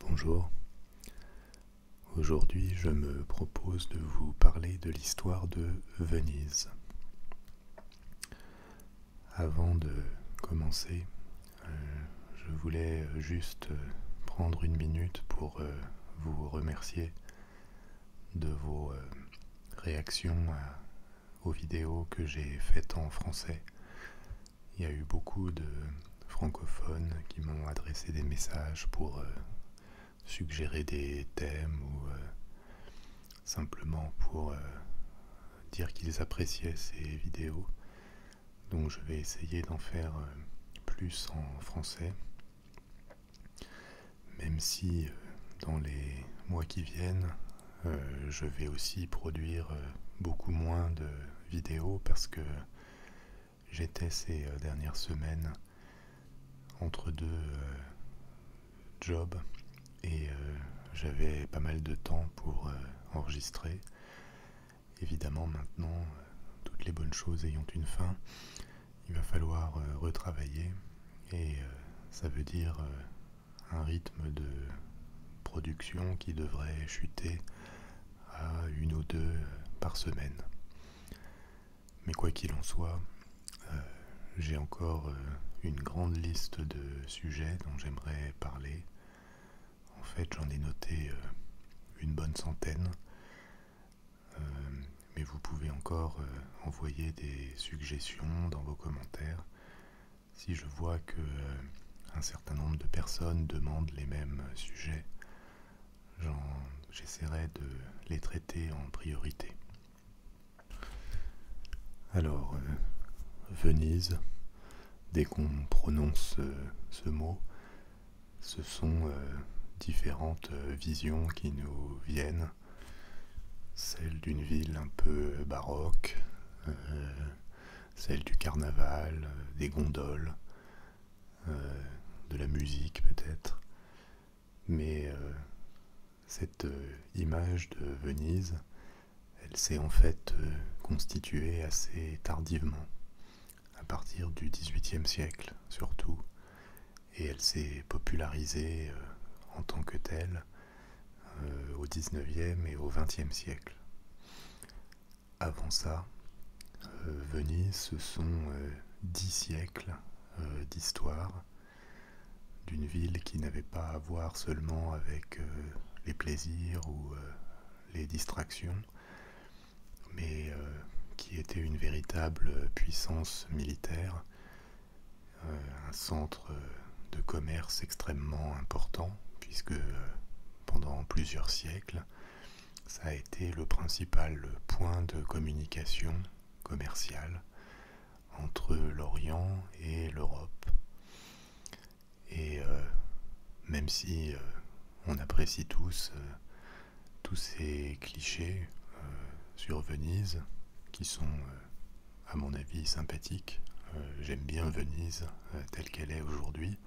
Bonjour. Aujourd'hui, je me propose de vous parler de l'histoire de Venise. Avant de commencer, euh, je voulais juste prendre une minute pour euh, vous remercier de vos euh, réactions aux vidéos que j'ai faites en français il y a eu beaucoup de francophones qui m'ont adressé des messages pour euh, suggérer des thèmes ou euh, simplement pour euh, dire qu'ils appréciaient ces vidéos. Donc je vais essayer d'en faire plus en français, même si dans les mois qui viennent, je vais aussi produire beaucoup moins de vidéo parce que j'étais ces euh, dernières semaines entre deux euh, jobs et euh, j'avais pas mal de temps pour enregistrer. Évidemment maintenant, toutes les bonnes choses ayant une fin, il va falloir retravailler et ça veut dire un rythme de production qui devrait chuter à une ou deux euh, par semaine. Mais quoi qu'il en soit, euh, j'ai encore euh, une grande liste de sujets dont j'aimerais parler. En fait, j'en ai noté une bonne centaine, mais vous pouvez encore envoyer des suggestions dans vos commentaires si je vois que euh, un certain nombre de personnes demandent les mêmes sujets, j'essaierai de les traiter en priorité. Alors, euh, Venise, dès qu'on prononce euh, ce mot, ce sont différentes visions qui nous viennent. celles d'une ville un peu baroque, celle du carnaval, euh, des gondoles, euh, de la musique peut-être. Mais euh, cette image de Venise, elle s'est en fait constituée assez tardivement, à partir du XVIIIe siècle surtout, et elle s'est popularisée en tant que telle au au XIXe et au XXe siècle avant ça, euh, Venise, ce sont euh, dix siècles euh, d'histoire d'une ville qui n'avait pas à voir seulement avec les plaisirs ou les distractions, mais qui était une véritable puissance militaire, un centre de commerce extrêmement important, puisque pendant plusieurs siècles, ça a été le principal point de communication commerciale entre l'Orient et l'Europe. Et euh, même si euh, on apprécie tous euh, tous ces clichés sur Venise, qui sont à mon avis sympathiques, j'aime bien Venise telle qu'elle est aujourd'hui,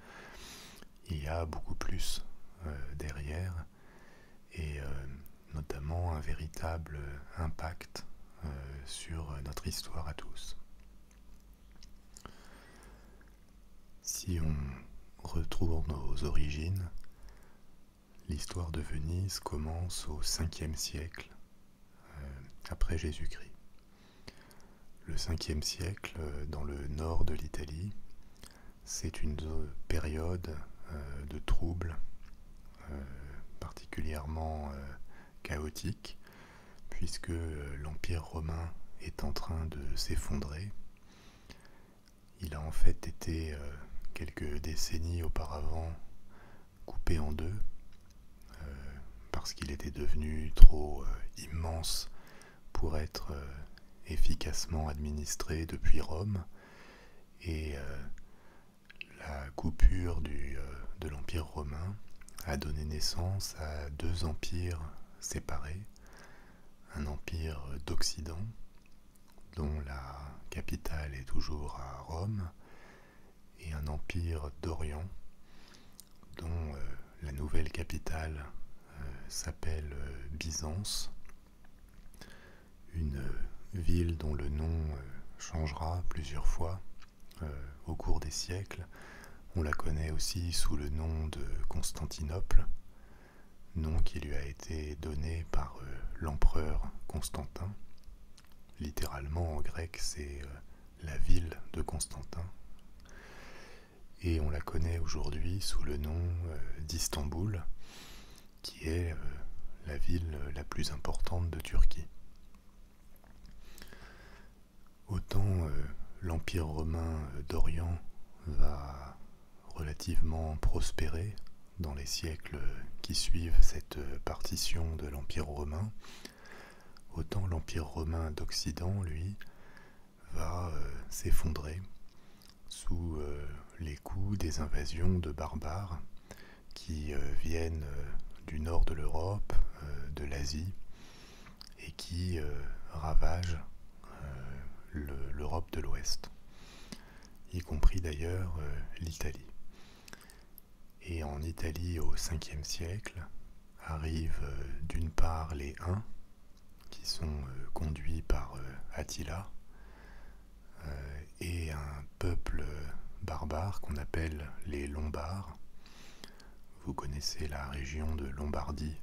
il y a beaucoup plus euh, derrière et euh, notamment un véritable euh, impact sur notre histoire à tous. Si on retrouve nos origines, l'histoire de Venise commence au 5e siècle après Jésus-Christ. Le 5 siècle, euh, dans le nord de l'Italie, c'est une période euh, de troubles euh, particulièrement chaotique, puisque l'Empire romain est en train de s'effondrer. Il a en fait été, quelques décennies auparavant, coupé en deux, parce qu'il était devenu trop immense pour être euh, efficacement administré depuis Rome et euh, la coupure euh, de l'Empire romain a donné naissance à deux empires séparés, un empire d'Occident dont la capitale est toujours à Rome et un empire d'Orient dont euh, la nouvelle capitale euh, s'appelle euh, Byzance, une ville dont le nom changera plusieurs fois au cours des siècles. On la connaît aussi sous le nom de Constantinople, nom qui lui a été donné par l'empereur Constantin. Littéralement en grec c'est la ville de Constantin et on la connaît aujourd'hui sous le nom euh, d'Istanbul, qui est euh, la ville euh, la plus importante de Turquie. Autant l'Empire romain d'Orient va relativement prospérer dans les siècles qui suivent cette partition de l'Empire romain, autant l'Empire romain d'Occident, lui, va euh, s'effondrer sous euh, les coups des invasions de barbares qui euh, viennent du nord de l'Europe, de l'Asie, et qui ravagent l'Europe de l'Ouest, y compris d'ailleurs l'Italie. Et en Italie au 5e siècle, arrivent d'une part les Huns, qui sont euh, conduits par euh, Attila euh, et un peuple barbare qu'on appelle les Lombards. Vous connaissez la région de Lombardie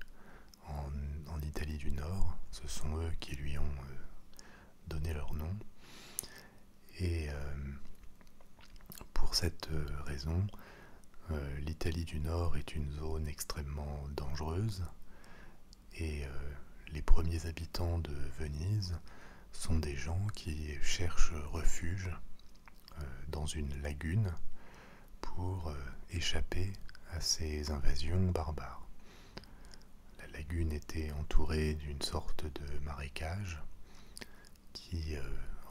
en Italie du Nord, ce sont eux qui lui ont donné leur nom. Et pour cette raison, euh, L'Italie du Nord est une zone extrêmement dangereuse et euh, les premiers habitants de Venise sont des gens qui cherchent refuge euh, dans une lagune pour échapper à ces invasions barbares. La lagune était entourée d'une sorte de marécage qui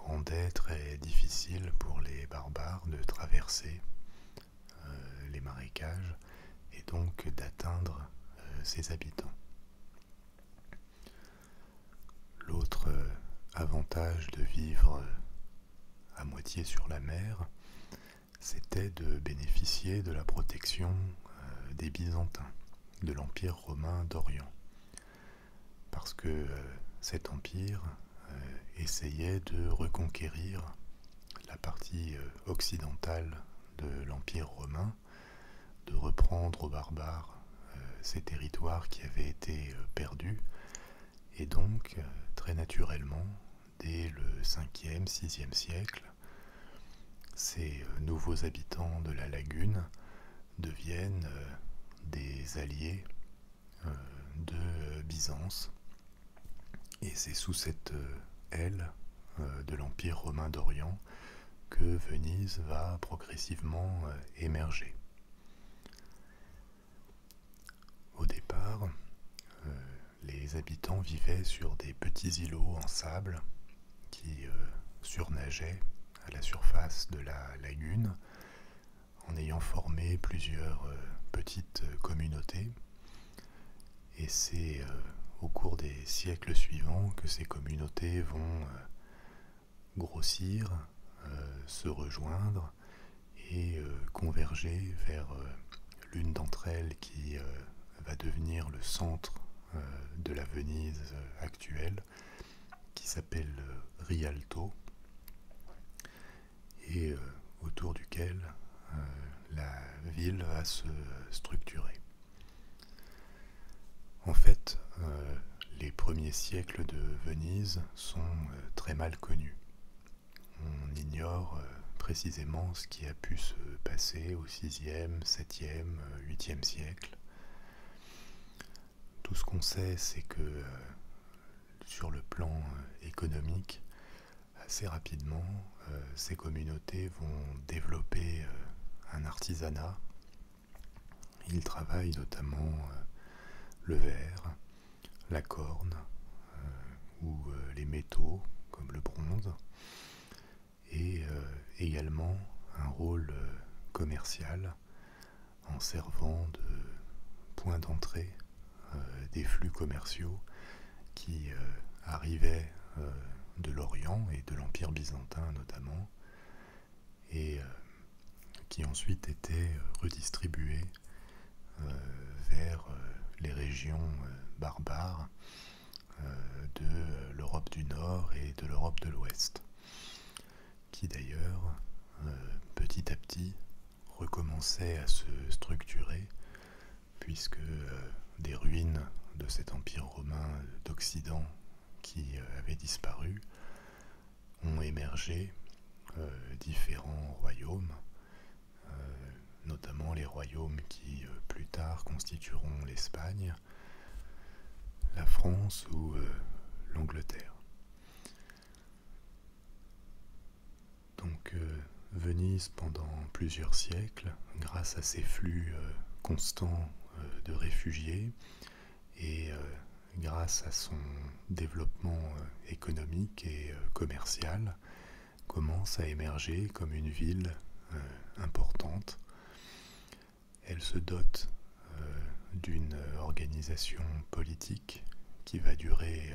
rendait très difficile pour les barbares de traverser euh, les marécages et donc d'atteindre euh, ses habitants. L'autre euh, avantage de vivre à moitié sur la mer, c'était de bénéficier de la protection des Byzantins, de l'Empire romain d'Orient. Parce que cet empire euh, essayaient de reconquérir la partie euh, occidentale de l'Empire romain, de reprendre aux barbares euh, ces territoires qui avaient été perdus, et donc très naturellement, dès le 5e, 6e siècle, ces nouveaux habitants de la lagune deviennent des alliés de Byzance. Et c'est sous cette euh, aile euh, de l'Empire romain d'Orient que Venise va progressivement euh, émerger. Au départ, les habitants vivaient sur des petits îlots en sable qui surnageaient à la surface de la lagune en ayant formé plusieurs euh, petites euh, communautés. Et c'est euh, au cours des siècles suivants que ces communautés vont grossir, se rejoindre et converger vers l'une d'entre elles qui va devenir le centre de la Venise actuelle, qui s'appelle Rialto et euh, autour duquel euh, la ville va se structurer. En fait, euh, les premiers siècles de Venise sont très mal connus. On ignore précisément ce qui a pu se passer au 6e, 7e, 8e siècle. Tout ce qu'on sait, c'est que sur le plan euh, économique, assez rapidement, euh, ces communautés vont développer euh, un artisanat. Ils travaillent notamment le verre, la corne ou les métaux comme le bronze et également un rôle commercial en servant de point d'entrée euh, des flux commerciaux qui euh, arrivaient euh, de l'Orient et de l'Empire byzantin notamment, et qui ensuite étaient redistribués vers les régions barbares de l'Europe du Nord et de l'Europe de l'Ouest, qui d'ailleurs, petit à petit, recommençait à se structurer, puisque euh, des ruines de cet empire romain d'Occident qui euh, avait disparu ont émergé euh, différents royaumes, notamment les royaumes qui plus tard constitueront l'Espagne, la France ou l'Angleterre. Donc euh, Venise, pendant plusieurs siècles, grâce à ses flux euh, constants euh, de réfugiés et grâce à son développement économique et commercial, commence à émerger comme une ville importante. Elle se dote d'une organisation politique qui va durer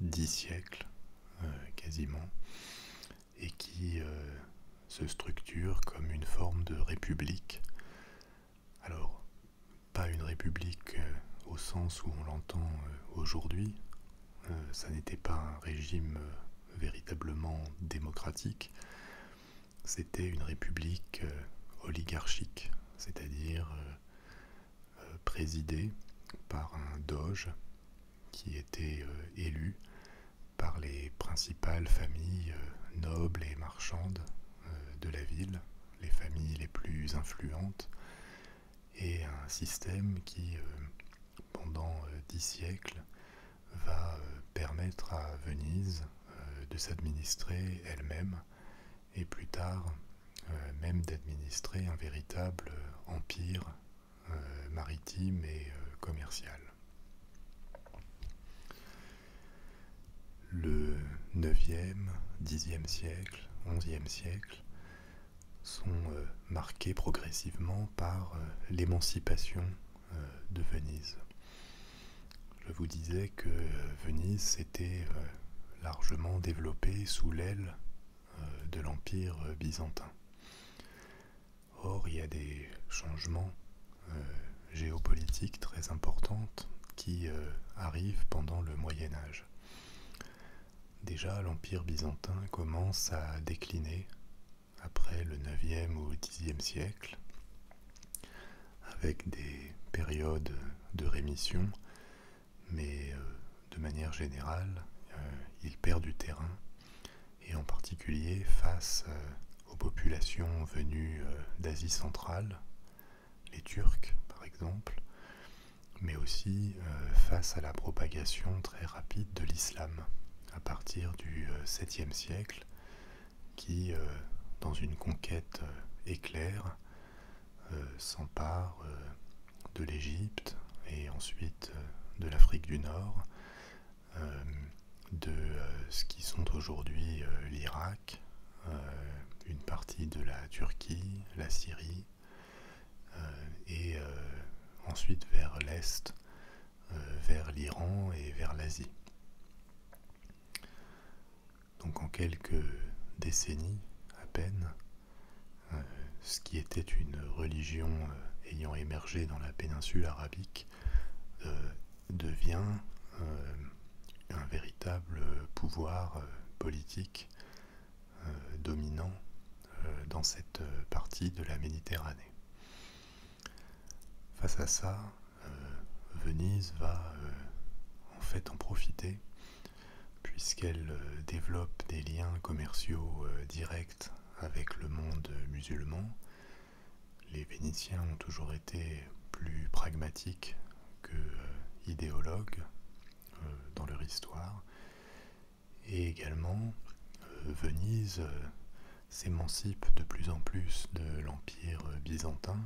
dix siècles euh, quasiment, et qui euh, se structure comme une forme de république. Alors, pas une république euh, au sens où on l'entend aujourd'hui, ça n'était pas un régime véritablement démocratique, c'était une république oligarchique, c'est-à-dire euh, présidé par un doge qui était euh, élu par les principales familles euh, nobles et marchandes de la ville, les familles les plus influentes, et un système qui, pendant dix siècles, va permettre à Venise de s'administrer elle-même et plus tard euh, même d'administrer un véritable euh, empire euh, maritime et commercial. Le 9e, 10e siècle, 11e siècle sont marqués progressivement par l'émancipation de Venise. Je vous disais que Venise s'était largement développée sous l'aile euh, de l'Empire euh, byzantin. Or, il y a des changements euh, géopolitiques très importants qui arrivent pendant le Moyen Âge. Déjà, l'Empire byzantin commence à décliner après le 9e ou 10e siècle, avec des périodes de rémission mais euh, de manière générale, euh, il perd du terrain, et en particulier face euh, aux populations venues d'Asie centrale, les Turcs par exemple, mais aussi face à la propagation très rapide de l'islam à partir du 7e siècle, qui, dans une conquête éclair, euh, s'empare euh, de l'Égypte et ensuite euh, de l'Afrique du Nord, de ce qui sont aujourd'hui l'Irak, une partie de la Turquie, la Syrie, et ensuite vers l'Est, vers l'Iran et vers l'Asie. Donc en quelques décennies à peine, euh, ce qui était une religion euh, ayant émergé dans la péninsule arabique, euh, devient un véritable pouvoir politique dominant dans cette partie de la Méditerranée. Face à ça, Venise va en fait en profiter puisqu'elle euh, développe des liens commerciaux euh, directs avec le monde musulman. Les Vénitiens ont toujours été plus pragmatiques que euh, idéologues dans leur histoire. Et également, Venise s'émancipe de plus en plus de l'Empire byzantin.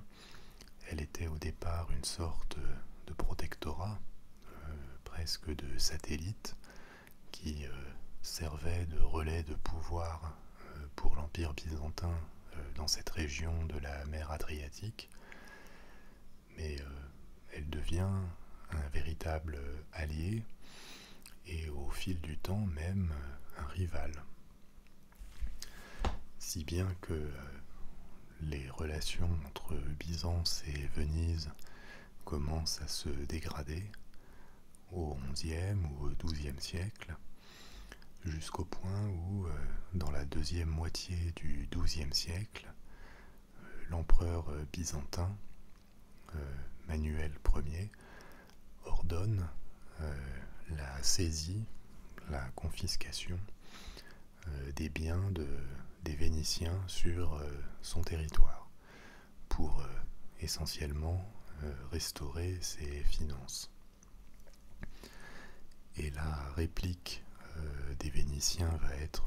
Elle était au départ une sorte de protectorat euh, presque de satellites, qui servait euh, servaient de relais de pouvoir euh, pour l'Empire byzantin dans cette région de la mer Adriatique. Mais elle devient un véritable allié et au fil du temps même un rival. Si bien que les relations entre Byzance et Venise commencent à se dégrader au XIe ou au XIIe siècle, jusqu'au point où, euh, dans la deuxième moitié du XIIe siècle, euh, l'empereur byzantin euh, Manuel Ier ordonne la saisie, la confiscation euh, des biens des Vénitiens sur euh, son territoire pour euh, essentiellement restaurer ses finances. Et la réplique des Vénitiens va être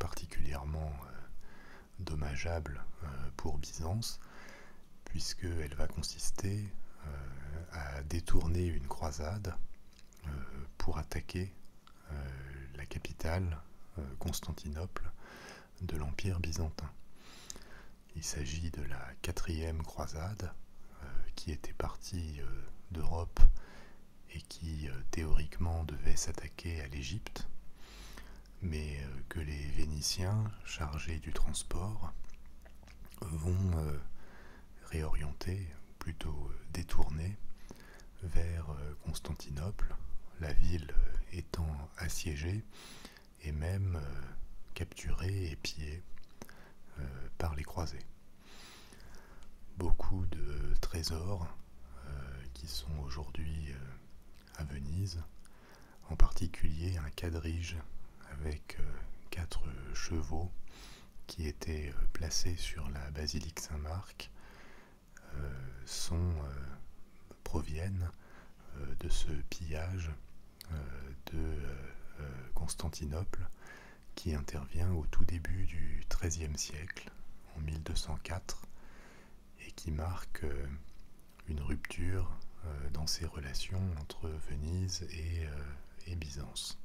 particulièrement dommageable pour Byzance, puisqu'elle va consister à détourner une croisade pour attaquer euh, la capitale, euh, Constantinople, de l'Empire byzantin. Il s'agit de la quatrième croisade euh, qui était partie d'Europe et qui théoriquement devait s'attaquer à l'Égypte, mais que les Vénitiens, chargés du transport, vont réorienter, plutôt détourner, vers euh, Constantinople, la ville euh, étant assiégée et même euh, capturée et pillée par les croisés. Beaucoup de trésors qui sont aujourd'hui à Venise, en particulier un quadrige avec quatre chevaux qui étaient placés sur la basilique Saint-Marc euh, sont, euh, proviennent euh, de ce pillage de Constantinople qui intervient au tout début du XIIIe siècle, en 1204, et qui marque une rupture dans ces relations entre Venise et Byzance.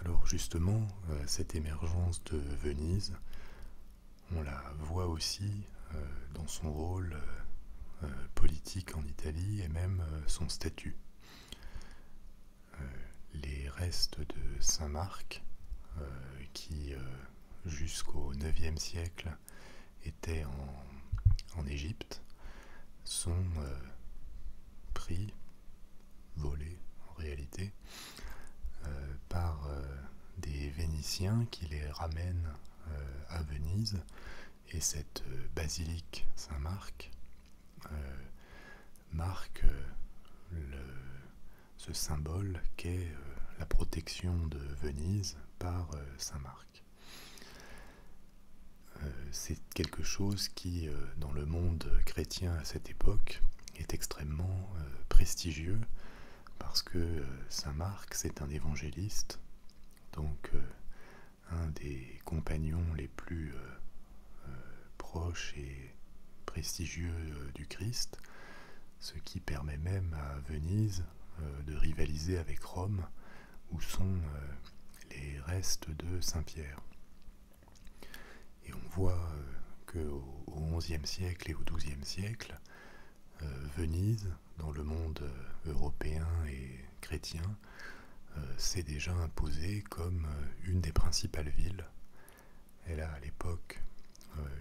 Alors justement, euh, cette émergence de Venise, on la voit aussi euh, dans son rôle euh, politique en Italie et même son statut. Les restes de Saint-Marc, qui jusqu'au IXe siècle étaient en, Égypte, sont pris volé en réalité, euh, par euh, des Vénitiens qui les ramènent euh, à Venise. Et cette basilique Saint-Marc marque ce symbole qu'est la protection de Venise par Saint-Marc. C'est quelque chose qui, dans le monde chrétien à cette époque, est extrêmement euh, prestigieux parce que euh, Saint Marc, c'est un évangéliste, donc euh, un des compagnons les plus proches et prestigieux du Christ, ce qui permet même à Venise de rivaliser avec Rome, où sont les restes de Saint-Pierre. Et on voit euh, qu'au XIe siècle et au XIIe siècle, euh, Venise, dans le monde euh, européen et chrétien, s'est déjà imposée comme une des principales villes. Elle a à l'époque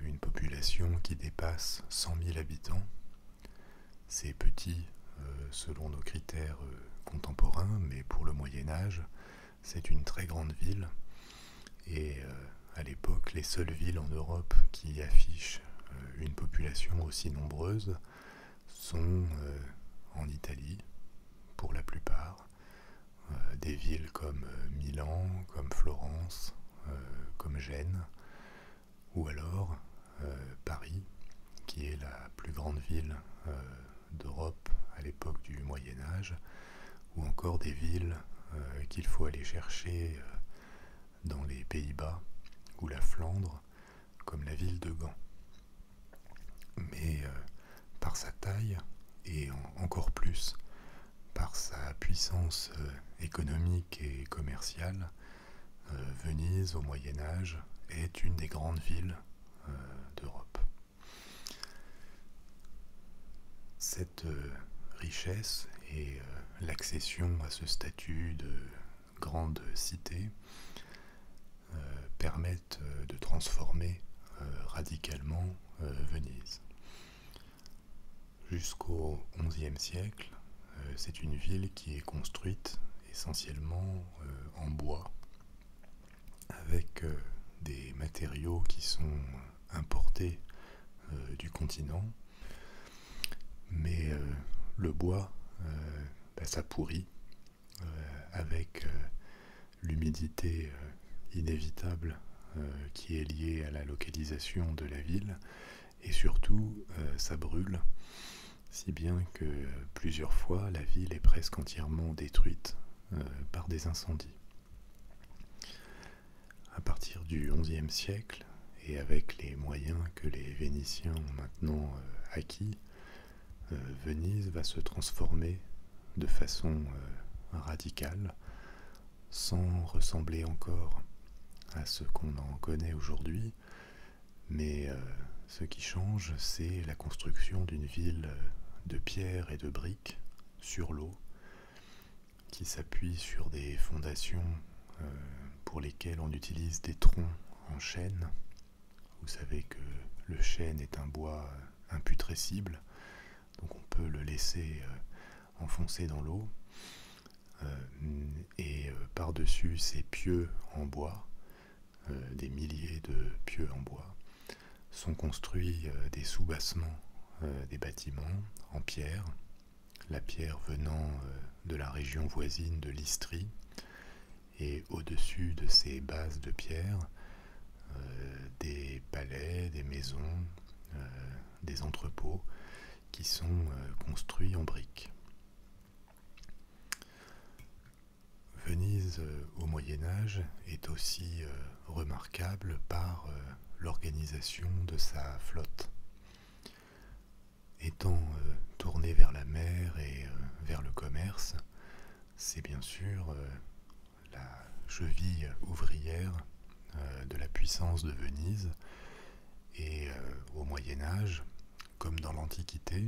une population qui dépasse 100 000 habitants. C'est petit selon nos critères contemporains, mais pour le Moyen Âge, c'est une très grande ville et euh, à l'époque les seules villes en Europe qui affichent euh, une population aussi nombreuse sont euh, en Italie pour la plupart, des villes comme Milan, comme Florence, comme Gênes ou alors Paris qui est la plus grande ville d'Europe à l'époque du Moyen Âge, ou encore des villes euh, qu'il faut aller chercher euh, dans les Pays-Bas ou la Flandre, comme la ville de Gand. Mais euh, par sa taille, et encore plus par sa puissance économique et commerciale, Venise au Moyen Âge est une des grandes villes d'Europe. Cette euh, richesse et euh, l'accession à ce statut de grande cité euh, permettent de transformer radicalement Venise. Jusqu'au XIe siècle, c'est une ville qui est construite essentiellement en bois avec euh, des matériaux qui sont importés euh, du continent. Mais euh, le bois, bah, ça pourrit avec l'humidité inévitable qui est liée à la localisation de la ville. Et surtout, ça brûle, si bien que plusieurs fois, la ville est presque entièrement détruite par des incendies. À partir du XIe siècle, et avec les moyens que les Vénitiens ont maintenant euh, acquis, euh, Venise va se transformer de façon euh, radicale, sans ressembler encore à ce qu'on en connaît aujourd'hui, mais ce qui change, c'est la construction d'une ville de pierre et de briques sur l'eau, qui s'appuie sur des fondations euh, pour lesquelles on utilise des troncs en chêne. Vous savez que le chêne est un bois euh, imputrescible, donc on peut le laisser euh, enfoncer dans l'eau. et par-dessus ces pieux en bois, des milliers de pieux en bois, sont construits euh, des soubassements euh, des bâtiments en pierre, la pierre venant euh, de la région voisine de l'Istrie, et au-dessus de ces bases de pierre, des palais, des maisons, des entrepôts qui sont construits en briques. Venise au Moyen Âge est aussi euh, remarquable par euh, l'organisation de sa flotte. Étant euh, tournée vers la mer et vers le commerce, c'est bien sûr la cheville ouvrière de la puissance de Venise. Et au Moyen Âge, comme dans l'Antiquité,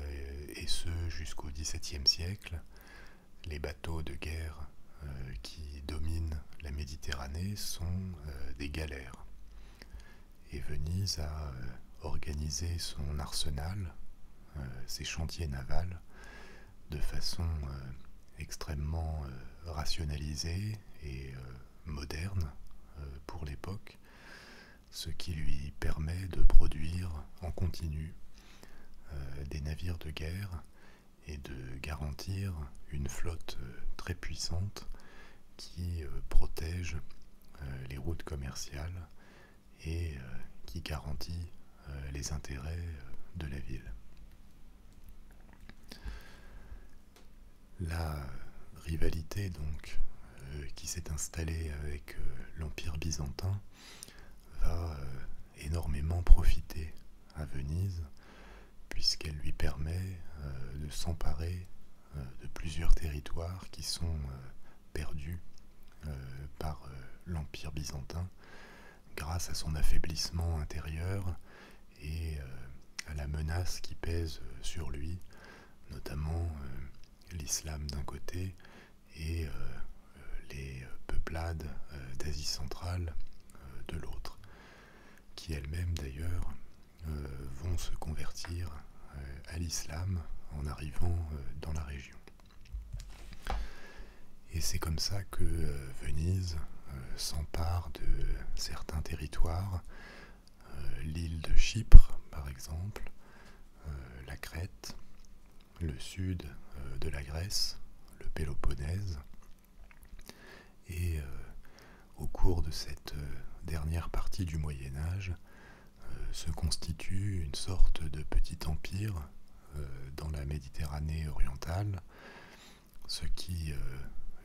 et ce jusqu'au XVIIe siècle, les bateaux de guerre euh, qui dominent la Méditerranée sont euh, des galères. Et Venise a euh, organisé son arsenal, ses chantiers navals, de façon extrêmement rationalisée et moderne pour l'époque, ce qui lui permet de produire en continu des navires de guerre et de garantir une flotte euh, très puissante qui euh, protège euh, les routes commerciales et qui garantit les intérêts de la ville. La rivalité donc qui s'est installée avec l'Empire byzantin va énormément profiter à Venise, puisqu'elle lui permet euh, de s'emparer euh, de plusieurs territoires qui sont euh, perdus par l'Empire byzantin grâce à son affaiblissement intérieur et à la menace qui pèse sur lui, notamment l'islam d'un côté et euh, les euh, peuplades euh, d'Asie centrale de l'autre, qui elles-mêmes d'ailleurs vont se convertir à l'islam en arrivant dans la région. Et c'est comme ça que Venise s'empare de certains territoires, l'île de Chypre par exemple, la Crète, le sud euh, de la Grèce, le Péloponnèse. Et euh, au cours de cette euh, dernière partie du Moyen Âge, se constitue une sorte de petit empire dans la Méditerranée orientale, ce qui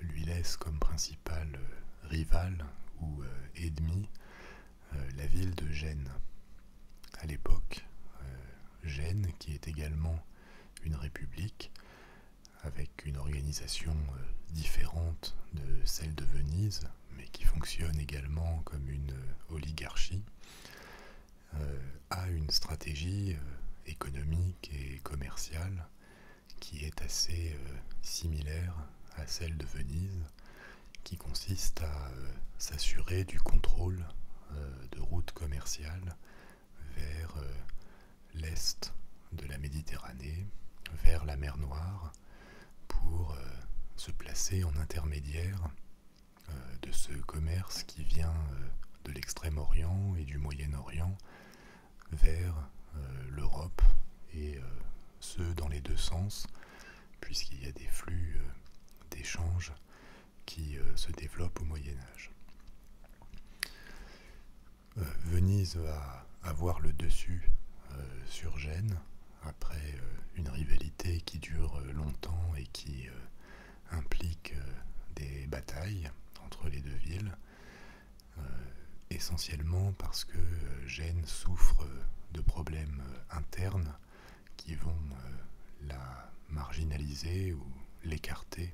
lui laisse comme principal rival ou ennemi la ville de Gênes. À l'époque, Gênes, qui est également une république avec une organisation euh, différente de celle de Venise, mais qui fonctionne également comme une euh, oligarchie, euh, a une stratégie économique et commerciale qui est assez similaire à celle de Venise, qui consiste à s'assurer du contrôle de routes commerciales vers euh, l'est de la Méditerranée, vers la mer Noire, pour euh, se placer en intermédiaire euh, de ce commerce qui vient de l'Extrême-Orient et du Moyen-Orient vers l'Europe, et ce dans les deux sens, puisqu'il y a des flux d'échanges qui euh, se développe au Moyen Âge. Euh, Venise va avoir le dessus euh, sur Gênes après une rivalité qui dure longtemps et qui implique des batailles entre les deux villes, essentiellement parce que Gênes souffre de problèmes internes qui vont la marginaliser ou l'écarter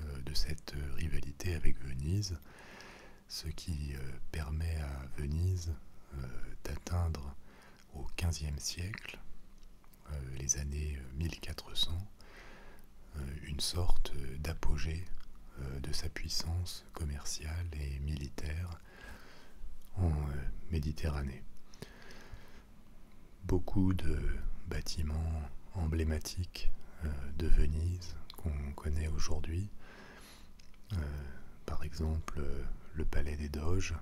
euh, de cette euh, rivalité avec Venise, ce qui euh, permet à Venise d'atteindre au XVe siècle, les années 1400, une sorte d'apogée de sa puissance commerciale et militaire en Méditerranée beaucoup de bâtiments emblématiques euh, de Venise qu'on connaît aujourd'hui. Euh, par exemple, le palais des Doges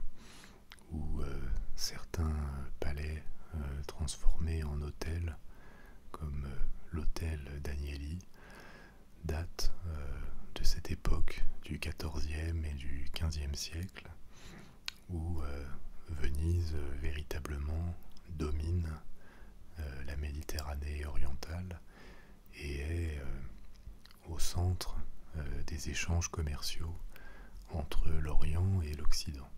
ou euh, certains palais transformés en hôtels comme l'hôtel d'Agnelli datent de cette époque du XIVe et du XVe siècle où euh, Venise euh, véritablement domine euh, la Méditerranée orientale et est au centre des échanges commerciaux entre l'Orient et l'Occident.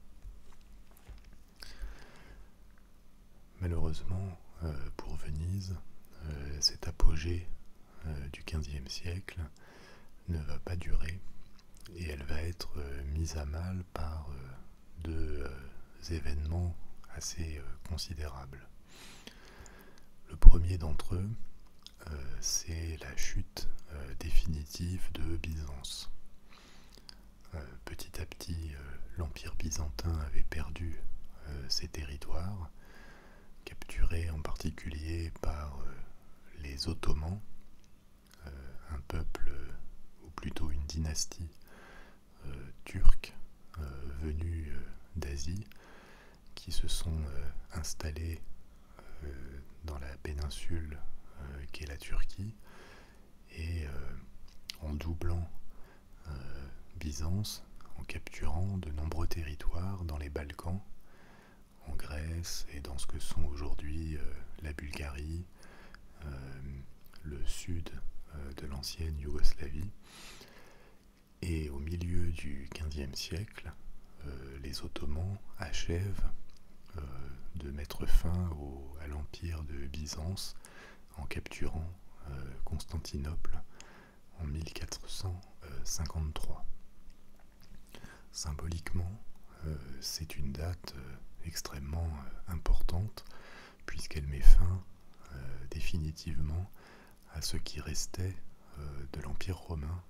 Malheureusement, pour Venise, cet apogée du XVe siècle ne va pas durer et elle va être euh, mise à mal par euh, deux euh, événements assez considérables. Le premier d'entre eux, c'est la chute définitive de Byzance. Petit à petit, l'Empire byzantin avait perdu ses territoires, capturés en particulier par les Ottomans, euh, un peuple, euh, ou plutôt une dynastie euh, turque venue d'Asie, qui se sont installés dans la péninsule qu'est la Turquie, et en doublant Byzance, en capturant de nombreux territoires dans les Balkans, en Grèce et dans ce que sont aujourd'hui la Bulgarie, euh, le sud euh, de l'ancienne Yougoslavie. Et au milieu du XVe siècle, euh, les Ottomans achèvent de mettre fin à l'empire de Byzance en capturant Constantinople en 1453. Symboliquement, euh, c'est une date euh, extrêmement euh, importante puisqu'elle met fin définitivement à ce qui restait de l'Empire romain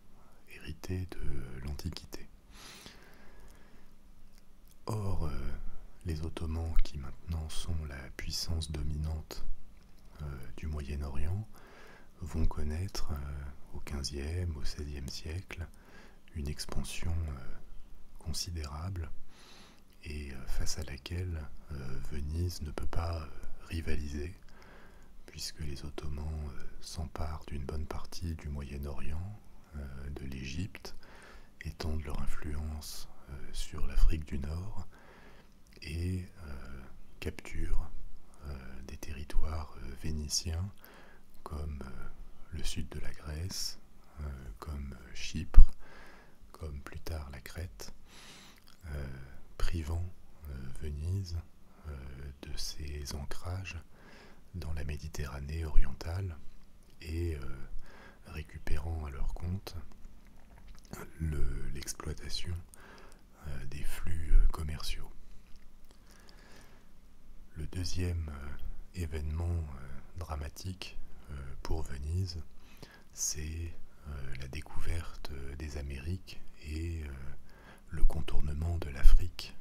hérité de l'Antiquité. Or, les Ottomans, qui maintenant sont la puissance dominante du Moyen-Orient, vont connaître au XVe, au XVIe siècle une expansion euh, considérable et euh, face à laquelle euh, Venise ne peut pas rivaliser puisque les Ottomans s'emparent d'une bonne partie du Moyen-Orient, de l'Égypte, étendent leur influence sur l'Afrique du Nord et capturent des territoires vénitiens comme euh, le sud de la Grèce, euh, comme euh, Chypre, comme plus tard la Crète, privant Venise de ses ancrages dans la Méditerranée orientale et récupérant à leur compte l'exploitation des flux commerciaux. Le deuxième euh, événement euh, dramatique euh, pour Venise, c'est la découverte des Amériques et le contournement de l'Afrique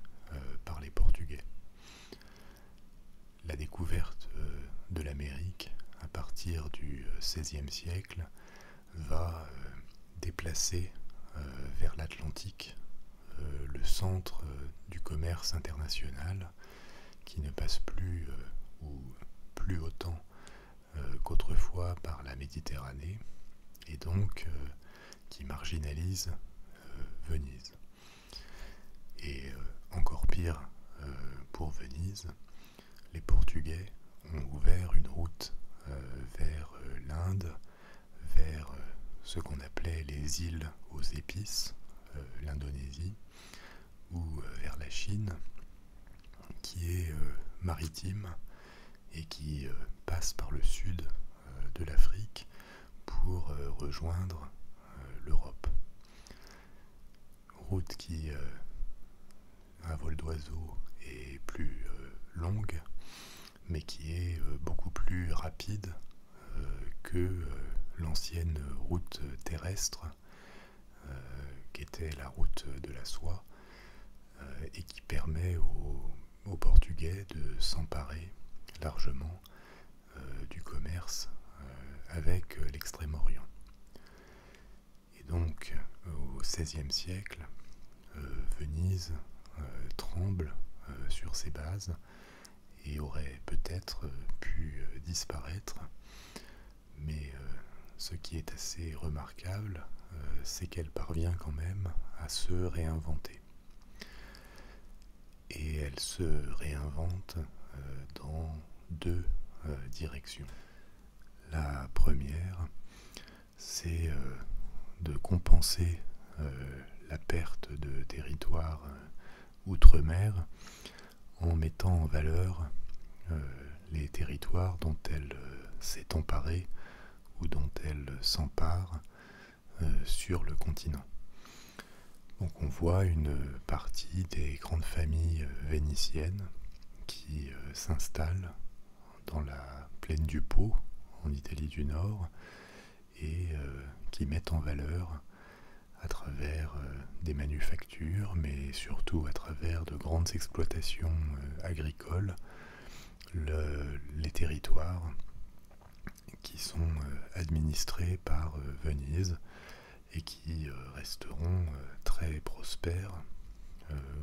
par les Portugais. La découverte de l'Amérique à partir du XVIe siècle va déplacer vers l'Atlantique euh, le centre euh, du commerce international qui ne passe plus euh, ou plus autant qu'autrefois par la Méditerranée et donc qui marginalise Venise. Et encore pire pour Venise, les Portugais ont ouvert une route vers l'Inde vers euh, ce qu'on appelait les îles aux épices, euh, l'Indonésie, ou euh, vers la Chine, qui est maritime et qui passe par le sud de l'Afrique pour rejoindre l'Europe. Route qui, un vol d'oiseau, est plus longue, mais qui est beaucoup plus rapide euh, que euh, l'ancienne route terrestre, euh, qui était la route de la soie, et qui permet aux, Portugais de s'emparer largement du commerce avec l'Extrême-Orient. Et donc, au XVIe siècle, Venise tremble sur ses bases et aurait peut-être euh, pu euh, disparaître. Mais euh, ce qui est assez remarquable, c'est qu'elle parvient quand même à se réinventer. Et elle se réinvente dans deux directions. La première, c'est de compenser la perte de territoire outre-mer en mettant en valeur euh, les territoires dont elle euh, s'est emparée ou dont elle s'empare euh, sur le continent. Donc on voit une partie des grandes familles vénitiennes qui s'installent dans la plaine du Pô en Italie du Nord et euh, qui mettent en valeur à travers euh, des manufactures, mais surtout à travers de grandes exploitations euh, agricoles, les territoires qui sont administrés par Venise et qui resteront très prospères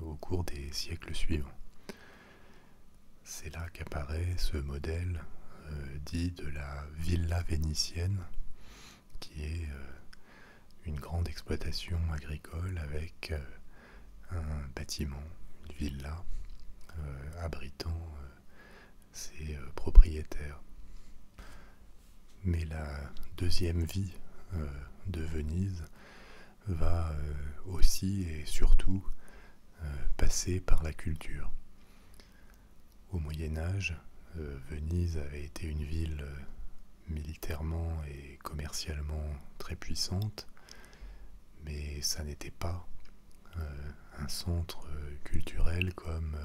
au cours des siècles suivants. C'est là apparaît ce modèle euh, dit de la villa vénitienne, qui est euh, une grande exploitation agricole avec euh, un bâtiment, une villa, abritant ses propriétaires. Mais la deuxième vie de Venise va aussi et surtout passer par la culture au Moyen Âge, euh, Venise avait été une ville euh, militairement et commercialement très puissante, mais ça n'était pas euh, un centre culturel comme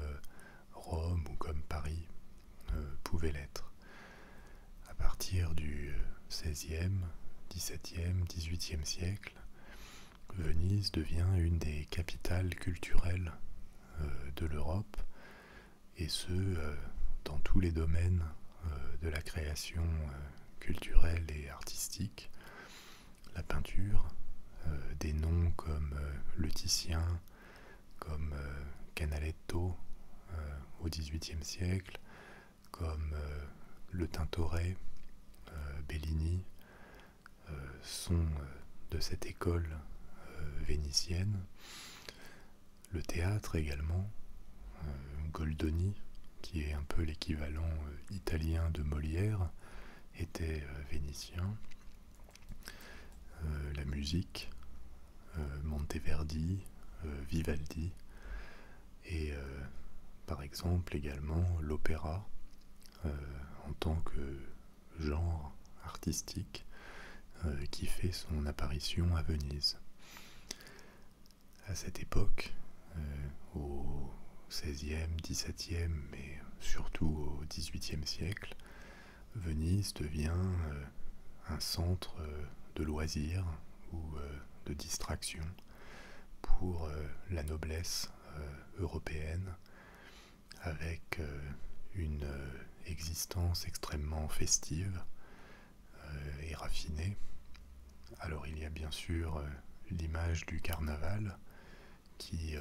Rome ou comme Paris pouvait l'être. À partir du XVIe, XVIIe, XVIIIe siècle, Venise devient une des capitales culturelles euh, de l'Europe, et ce, euh, dans tous les domaines euh, de la création culturelle et artistique, la peinture, des noms comme le Titien, comme Canaletto au XVIIIe siècle, comme le Tintoret, Bellini, euh, sont euh, de cette école euh, vénitienne. Le théâtre également, Goldoni, qui est un peu l'équivalent italien de Molière, était vénitien. la musique, Monteverdi, Vivaldi, et par exemple également l'opéra, en tant que genre artistique euh, qui fait son apparition à Venise. À cette époque, euh, au XVIe, XVIIe, mais surtout au XVIIIe siècle, Venise devient euh, un centre de loisirs ou de distraction pour la noblesse européenne avec euh, une euh, existence extrêmement festive euh, et raffinée. Alors il y a bien sûr l'image du carnaval qui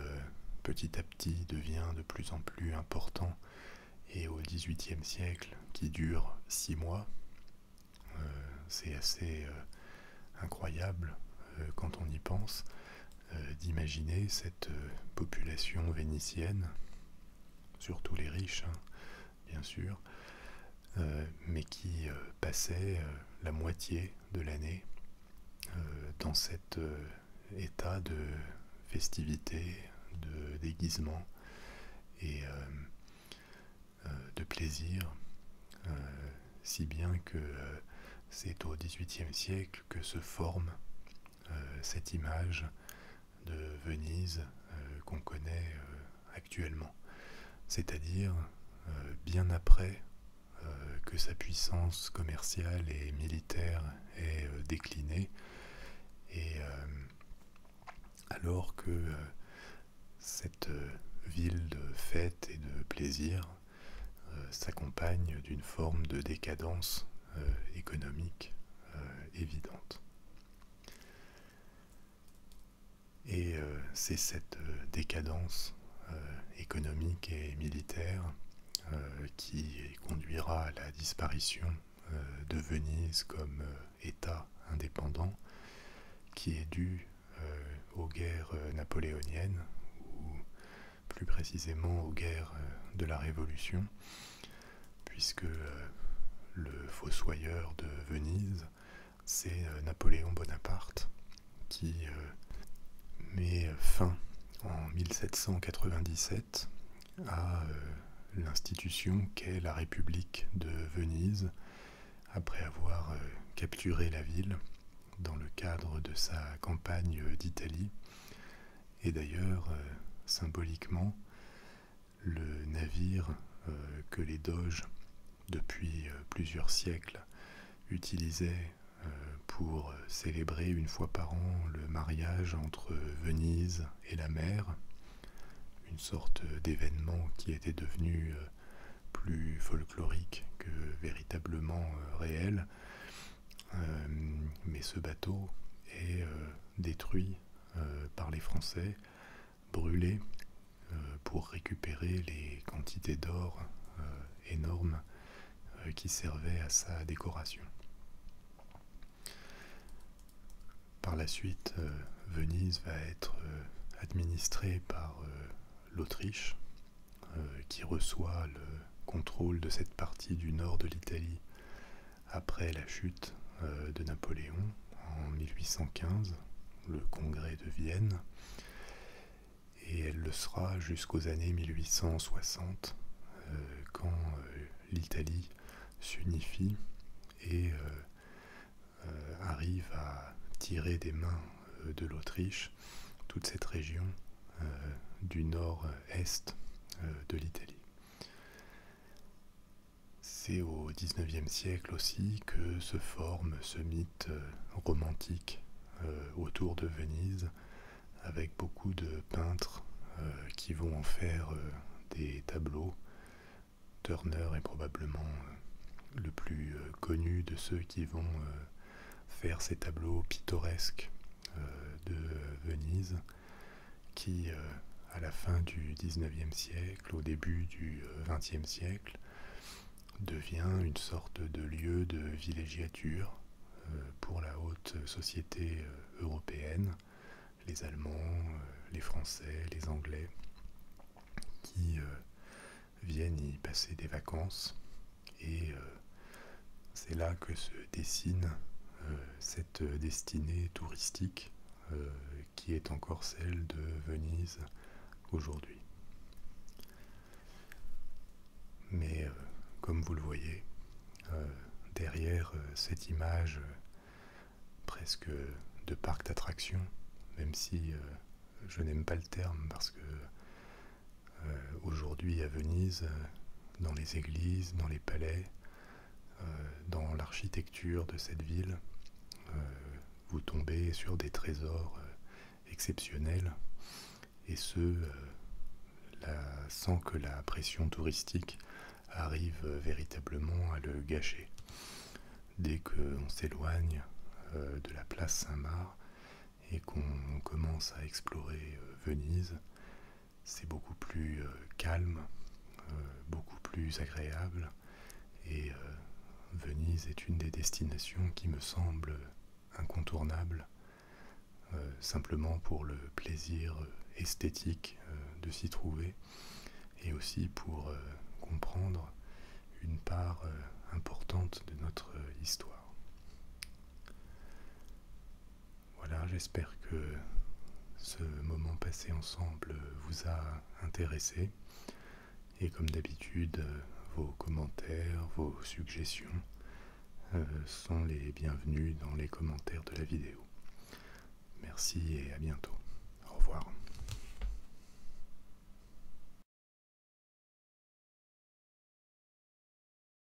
petit à petit devient de plus en plus important et au XVIIIe siècle qui dure six mois. C'est assez incroyable euh, quand on y pense, euh, d'imaginer cette euh, population vénitienne, surtout les riches, hein, bien sûr, mais qui passait la moitié de l'année dans cet état de festivité, de déguisement et de plaisir, si bien que c'est au XVIIIe siècle que se forme euh, cette image de Venise euh, qu'on connaît euh, actuellement, c'est-à-dire bien après que sa puissance commerciale et militaire est déclinée, et alors que cette ville de fête et de plaisir euh, s'accompagne d'une forme de décadence euh, économique euh, évidente. Et c'est cette décadence économique et militaire qui conduira à la disparition de Venise comme État indépendant, qui est due aux guerres napoléoniennes, plus précisément aux guerres euh, de la Révolution, puisque euh, le fossoyeur de Venise, c'est euh, Napoléon Bonaparte, qui met fin en 1797 à l'institution qu'est la République de Venise, après avoir capturé la ville dans le cadre de sa campagne d'Italie. Et d'ailleurs, euh, symboliquement, le navire euh, que les doges, depuis euh, plusieurs siècles, utilisaient pour célébrer une fois par an le mariage entre Venise et la mer, une sorte d'événement qui était devenu plus folklorique que véritablement réel, euh, mais ce bateau est euh, détruit euh, par les Français, brûlé pour récupérer les quantités d'or énormes qui servaient à sa décoration. Par la suite, Venise va être administrée par l'Autriche euh, qui reçoit le contrôle de cette partie du nord de l'Italie après la chute euh, de Napoléon en 1815, le congrès de Vienne, et elle le sera jusqu'aux années 1860, euh, quand l'Italie s'unifie et arrive à tirer des mains de l'Autriche toute cette région du nord euh, est euh, de l'Italie. C'est au XIXe siècle aussi que se forme ce mythe euh, romantique autour de Venise, avec beaucoup de peintres qui vont en faire des tableaux. Turner est probablement le plus connu de ceux qui vont faire ces tableaux pittoresques euh, de Venise qui, euh, à la fin du 19e siècle, au début du 20 euh, siècle, devient une sorte de lieu de villégiature pour la haute société européenne, les Allemands, les Français, les Anglais, qui viennent y passer des vacances et euh, c'est là que se dessine euh, cette destinée touristique euh, qui est encore celle de Venise aujourd'hui. Mais comme vous le voyez, derrière cette image presque de parc d'attractions, même si je n'aime pas le terme parce que euh, aujourd'hui à Venise, euh, dans les églises, dans les palais, euh, dans l'architecture de cette ville. vous tombez sur des trésors exceptionnels, et ce, sans que la pression touristique arrive véritablement à le gâcher. Dès qu'on s'éloigne de la place Saint-Marc, et qu'on commence à explorer euh, Venise, c'est beaucoup plus euh, calme, euh, beaucoup plus agréable, et Venise est une des destinations qui me semble incontournable, simplement pour le plaisir esthétique de s'y trouver, et aussi pour comprendre une part importante de notre histoire. Voilà, j'espère que ce moment passé ensemble vous a intéressé. Et comme d'habitude, vos commentaires, vos suggestions euh, sont les bienvenus dans les commentaires de la vidéo. Merci et à bientôt. Au revoir.